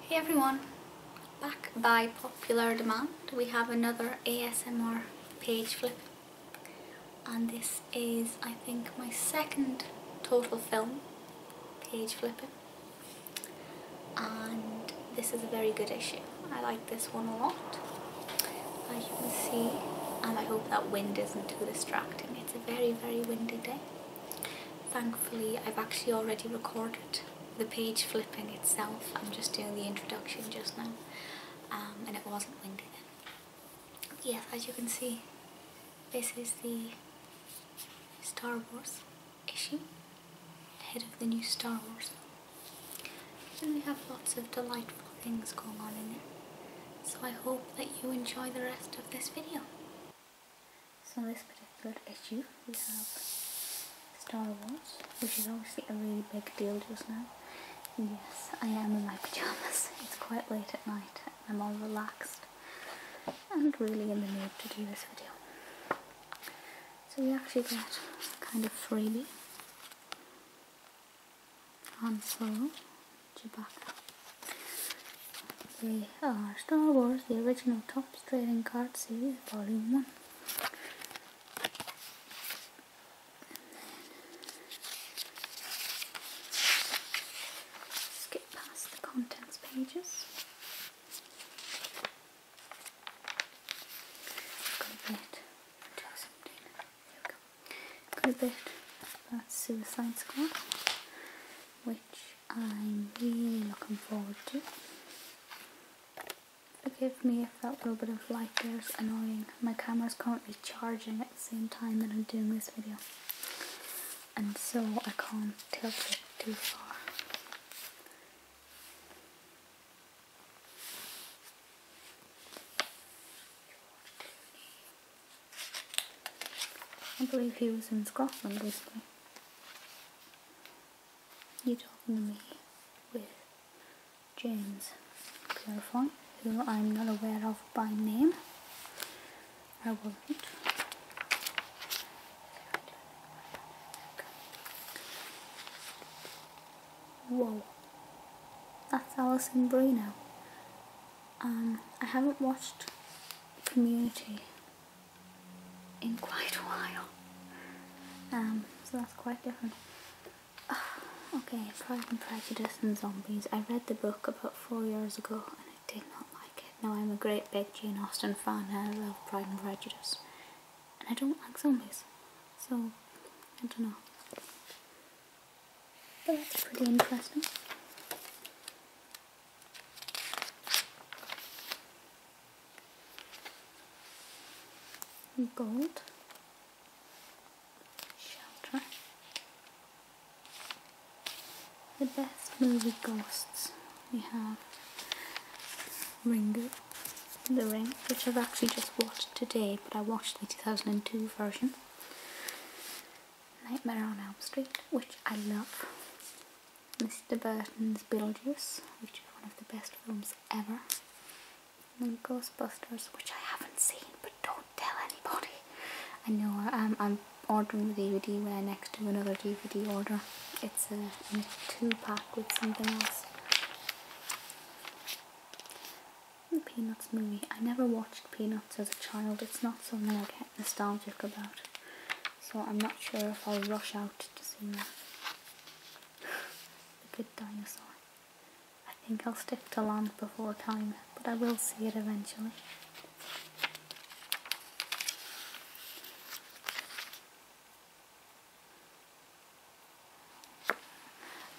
Hey everyone, back by popular demand we have another ASMR page flip and this is I think my second total film page flipping and this is a very good issue. I like this one a lot as you can see and I hope that wind isn't too distracting. It's a very very windy day Thankfully, I've actually already recorded the page flipping itself. I'm just doing the introduction just now, um, and it wasn't windy then. yes, as you can see, this is the Star Wars issue, ahead of the new Star Wars. And we have lots of delightful things going on in it. So I hope that you enjoy the rest of this video. So this particular issue we have Star Wars, which is obviously a really big deal just now. Yes, I am in my pyjamas. It's quite late at night. I'm all relaxed and really in the mood to do this video. So we actually get kind of freebie. Han Solo, Chewbacca, the Star Wars, the er original Topps Trading Card Series, Volume 1. Skip past the contents pages. Good bit. Good bit. That's Suicide Squad, which I'm really looking forward to. Forgive me if that little bit of light is annoying. My camera's currently charging at the same time that I'm doing this video. And so I can't tilt it too far. I believe he was in Scotland recently you talking to me with James Pierrefonds, who I'm not aware of by name. I will not Whoa. That's Allison Brino. Um, I haven't watched Community in quite a while. Um, so that's quite different. Ah, okay, Pride and Prejudice and Zombies. I read the book about four years ago and I did not like it. Now I'm a great big Jane Austen fan I love Pride and Prejudice. And I don't like zombies. So, I don't know. But that's pretty interesting gold shelter the best movie ghosts we have Ringo The Ring which I've actually just watched today but I watched the 2002 version Nightmare on Elm Street which I love Mr. Burton's Beetlejuice, which is one of the best films ever, and Ghostbusters, which I haven't seen, but don't tell anybody. I know um, I'm ordering the DVD where next to another DVD order. It's a, two pack with something else. The Peanuts movie. I never watched Peanuts as a child. It's not something I kept nostalgic about. So I'm not sure if I'll rush out to see that. the Good Dinosaur. I think I'll stick to Land Before Time, but I will see it eventually.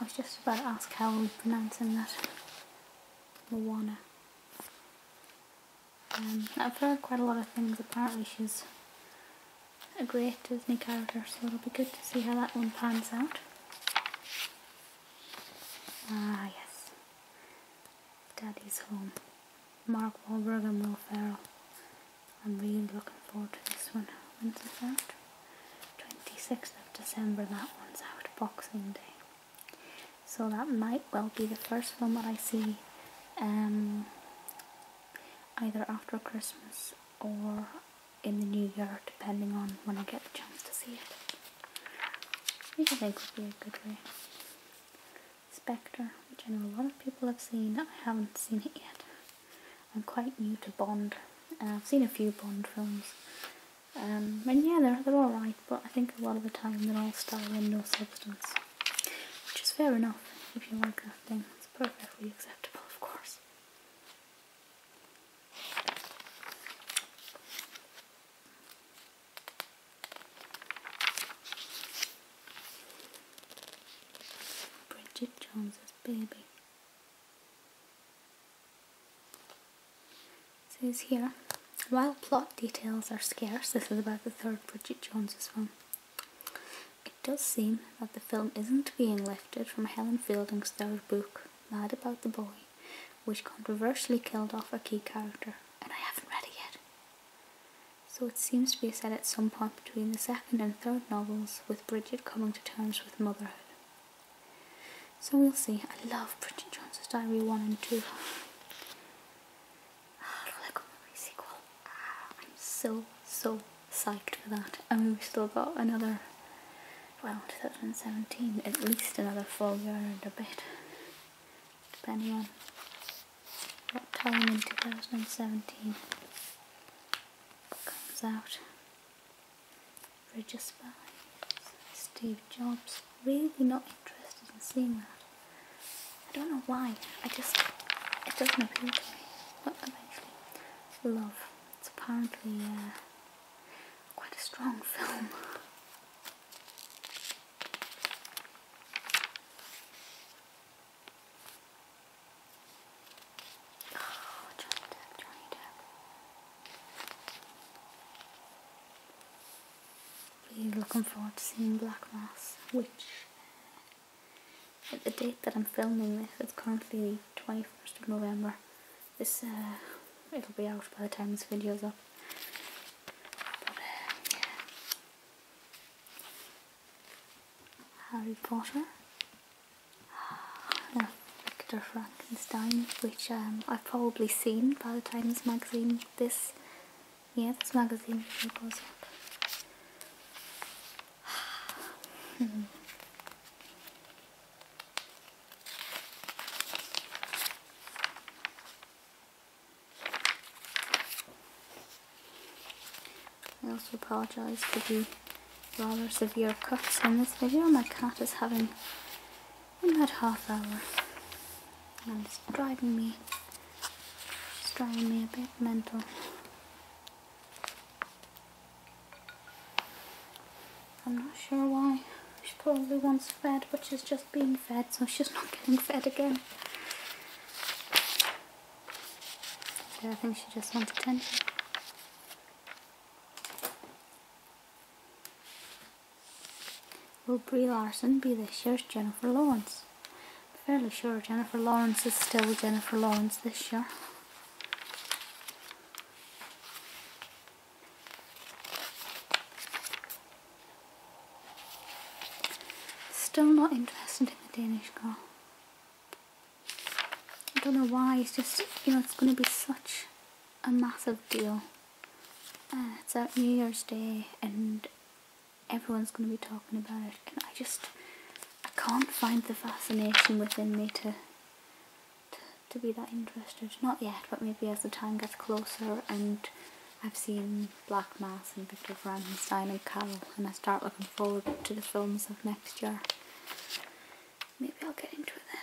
I was just about to ask how I'm pronouncing that. Moana. Um, I've heard quite a lot of things. Apparently, she's a great Disney character, so it'll be good to see how that one pans out. Ah, yes. Daddy's home. Mark Wahlberg and Will Ferrell. I'm really looking forward to this one. When's it out? 26th of December, that one's out. Boxing Day. So that might well be the first film that I see um, either after Christmas or in the new year, depending on when I get the chance to see it. I think would be a good way. Spectre, which I know a lot of people have seen. I haven't seen it yet. I'm quite new to Bond. Uh, I've seen a few Bond films. Um, and yeah, they're, they're alright, but I think a lot of the time they're all style and no substance. Which is fair enough if you like that thing. It's perfectly acceptable, of course. Bridget Jones's baby. says here, while plot details are scarce, this is about the third Bridget Jones's film. It does seem that the film isn't being lifted from Helen Fielding's third book, Mad About the Boy, which controversially killed off a key character, and I haven't read it yet. So it seems to be set at some point between the second and third novels, with Bridget coming to terms with motherhood. So we'll see. I love Bridget Jones's Diary 1 and 2. Rolegomery oh, sequel. Ah, I'm so, so psyched for that. I mean, we've still got another, well, 2017, at least another full year and a bit, depending on what time in 2017 comes out. Bridges by Steve Jobs. Really not interested in seeing that. I don't know why. I just it doesn't appeal to me. But well, eventually, love. It's apparently uh, quite a strong film. Oh, Johnny Depp, Johnny Depp be looking forward to seeing Black Mass, which at the date that I'm filming this, it's currently the 21st of November. This, uh, it'll be out by the time this video's up. Uh, Harry Potter. Victor Frankenstein, which um, I've probably seen by the time this magazine, this yeah, this magazine hmm. I also apologise for the rather severe cuts in this video. My cat is having a mad half hour and it's driving me it's driving me a bit mental. I'm not sure why. She probably wants fed, but she's just being fed, so she's not getting fed again. Yeah, I think she just wants attention. Will Brie Larson be this year's Jennifer Lawrence? fairly sure Jennifer Lawrence is still Jennifer Lawrence this year. Still not interested in the Danish girl. I don't know why, it's just, you know, it's going to be such a massive deal. Uh, it's at New Year's Day and everyone's going to be talking about it and I just I can't find the fascination within me to to, be that interested not yet but maybe as the time gets closer and I've seen Black Mass and Victor Frankenstein and Carol and I start looking forward to the films of next year maybe I'll get into it then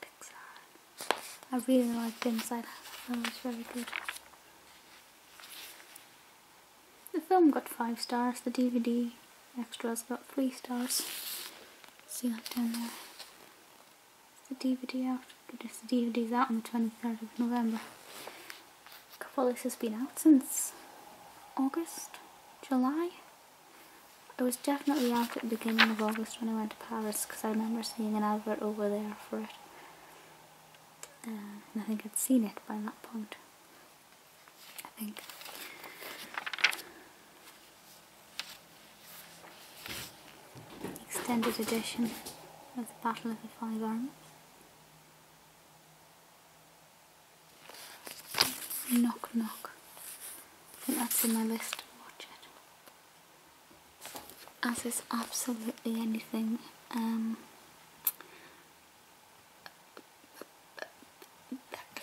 Pixar. I really liked Inside Out. That was very good. The film got five stars. The DVD extras got three stars. See that down there. the DVD after this DVD's out on the 23rd of November. Capolis has been out since August, July. It was definitely out at the beginning of August when I went to Paris because I remember seeing an advert over there for it. Uh, and I think I'd seen it by that point. I think. Extended edition of the Battle of the Five Armies. Knock Knock. I think that's in my list to watch it. As is absolutely anything. Um,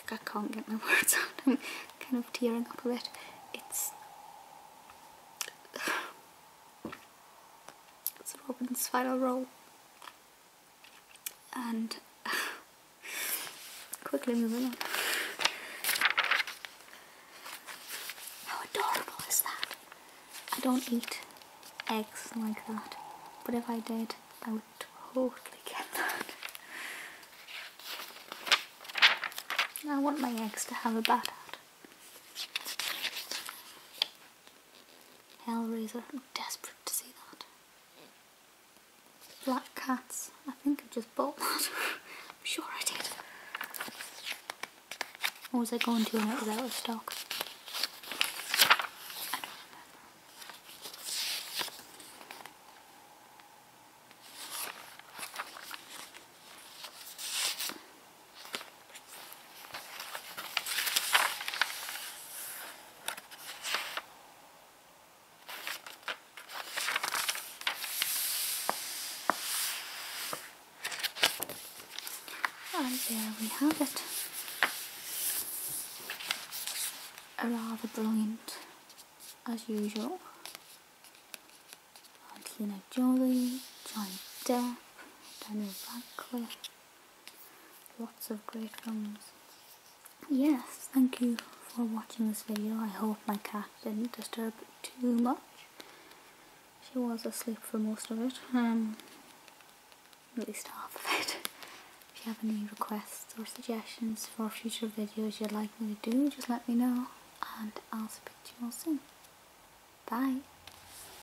I can't get my words out. I'm kind of tearing up a bit. It's it's Robin's final roll. And quickly moving on. How adorable is that? I don't eat eggs like that, but if I did, I would totally get that. I want my eggs to have a bad. at. Hellraiser. I'm desperate to see that. Black Cats. I think I just bought that. sure I did. What was I going to and it was out of stock? And there we have it. A rather brilliant, as usual. Angelina Jolie, John Depp, Daniel Radcliffe. Lots of great films. Yes, thank you for watching this video. I hope my cat didn't disturb too much. She was asleep for most of it, um, at least half of it. if you have any requests or suggestions for future videos you'd like me to do, just let me know and I'll speak to you all soon. Bye!